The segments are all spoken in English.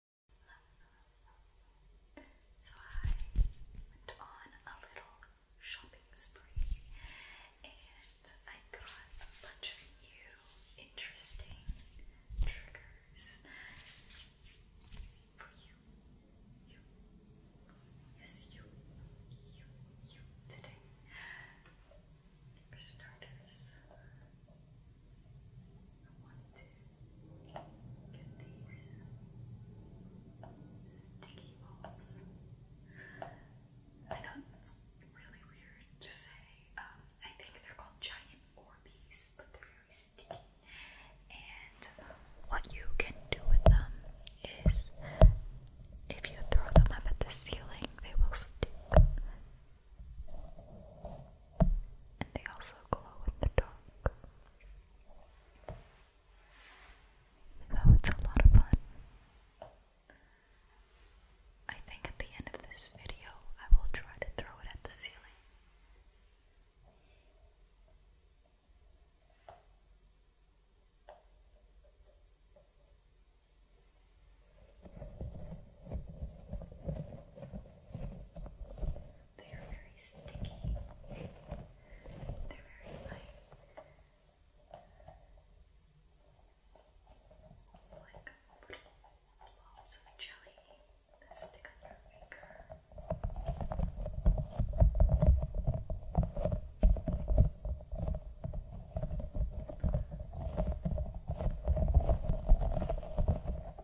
So I went on a little shopping spree and I got a bunch of new interesting triggers for you. Yes, you. You. You. Today. For starters, I wanted to Get these sticky balls. I know it's really weird to say. Um, I think they're called giant Orbeez, but they're very sticky. And what you can do with them is if you throw them up at the ceiling, they will stick and they also glow in the dark. So it's a lot of fun. I think at the end of this video, I will try to throw it at the ceiling. They are very sticky. They're very light. Like jelly that stick on your finger.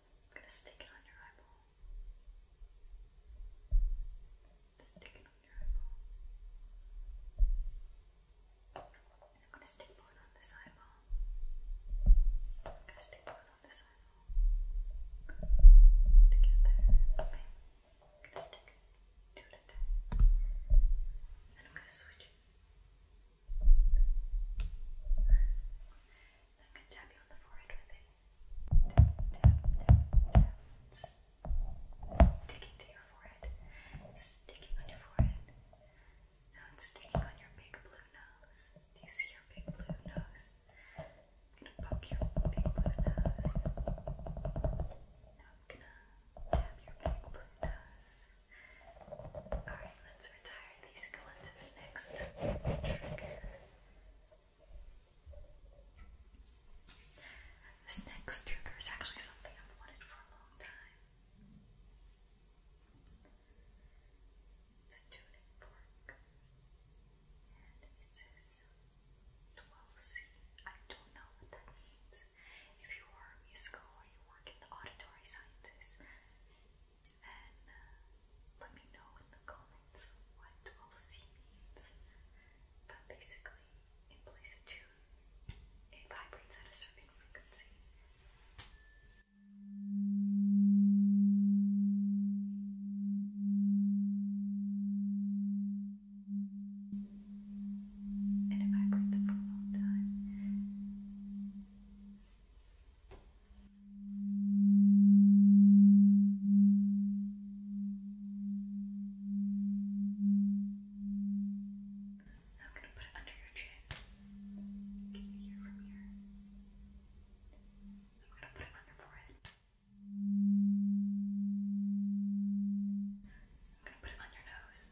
I'm gonna stick it on your eyeball. Stick it on your eyeball. I'm gonna stick both on this eyeball. I'm gonna stick both on this eyeball. Together. Okay. I'm gonna stick two at a time. And I'm gonna switch. I could tap you on the forehead with it. Tap, tap, tap, tap. sticking to your forehead. sticking on your forehead. Now it's sticking on your big blue nose. Do you see your big blue nose? I'm gonna poke your big blue nose. Now I'm gonna tap your big blue nose. Alright, let's retire these go on the next trigger. This next trigger is actually something I've wanted for a long time. It's a tuning fork. And it says 12C. I don't know what that means. If you are musical or you work in the auditory sciences, uh, let me know in the comments what OC means. But basically, in place of tune, it vibrates at a certain frequency. And it vibrates for a long time. Now I'm going to put it under your chin. Can you hear from here? I'm going to put it on your forehead. I'm going to put it on your nose.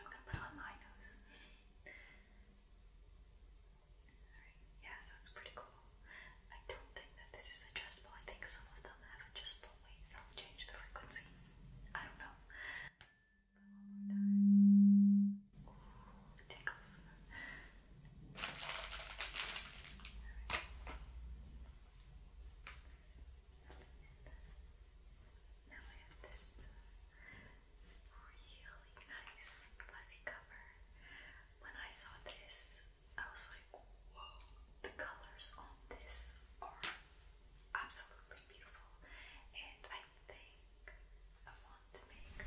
I'm gonna put on my nose. Alright, yeah, pretty cool. I don't think that this is adjustable. I think some of them have adjustable weights that'll change the frequency. I don't know. one more time. it tickles. Now I have this really nice fuzzy cover. When I saw this, I was like, whoa, the colors on this are absolutely beautiful. And I think I want to make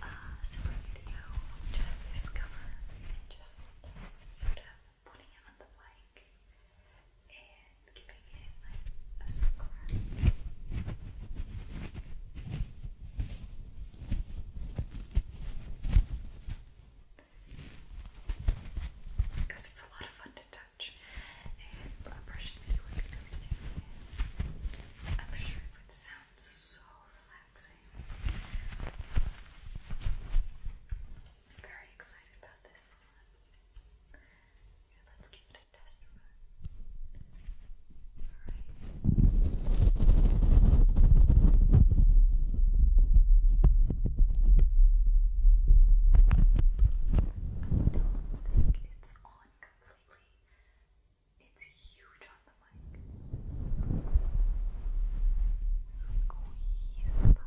a separate video just this cover and just sort of putting it on the mic and giving Because it's a lot of fun to touch, and brushing me would be nice I'm sure it would sound so relaxing. I'm very excited about this let's give it a test run. Alright. I don't think it's on completely. It's huge on the mic. Squeeze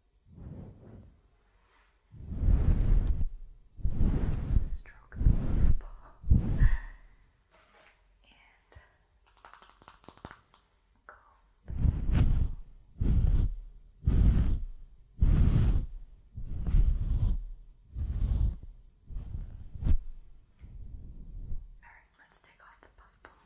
Stroke the ball and go. Alright, let's take off the puff ball.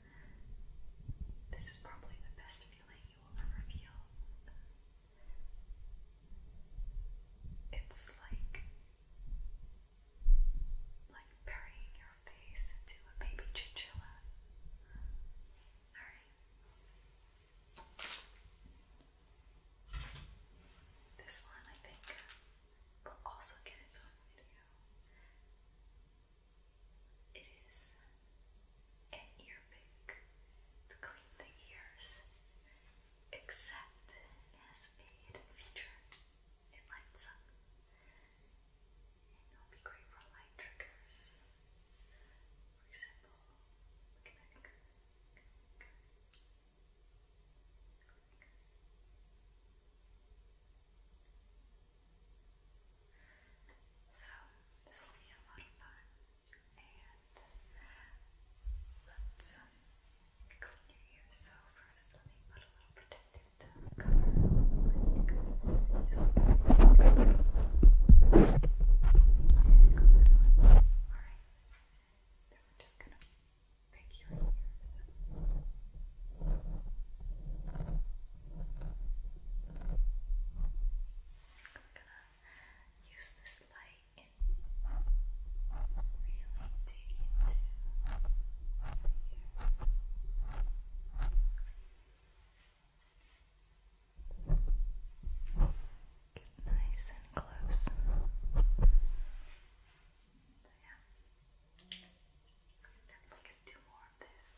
This is probably the best feeling you will ever feel. It's like like burying your face into a baby chinchilla. Alright. This one I think will also get its own video. It is an ear to clean the ears, except it has a hidden feature. It lights up. it'll be great for light triggers. For example, so, this will be a lot of fun. And let's um, clean your ears. So, first, let me put a little protective cover on Alright. Then we're just gonna pick your ears gonna use this light and really dig into the ears. Get nice and close. So, yeah i definitely gonna do more of this.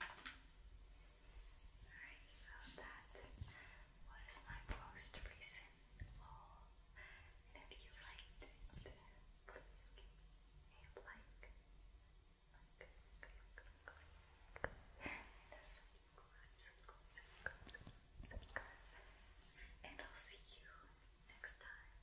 Alright, so that was my most recent haul. And if you liked it, please give a like. Like, click, click, click. And a subscribe, subscribe, subscribe, subscribe. And I'll see you next time.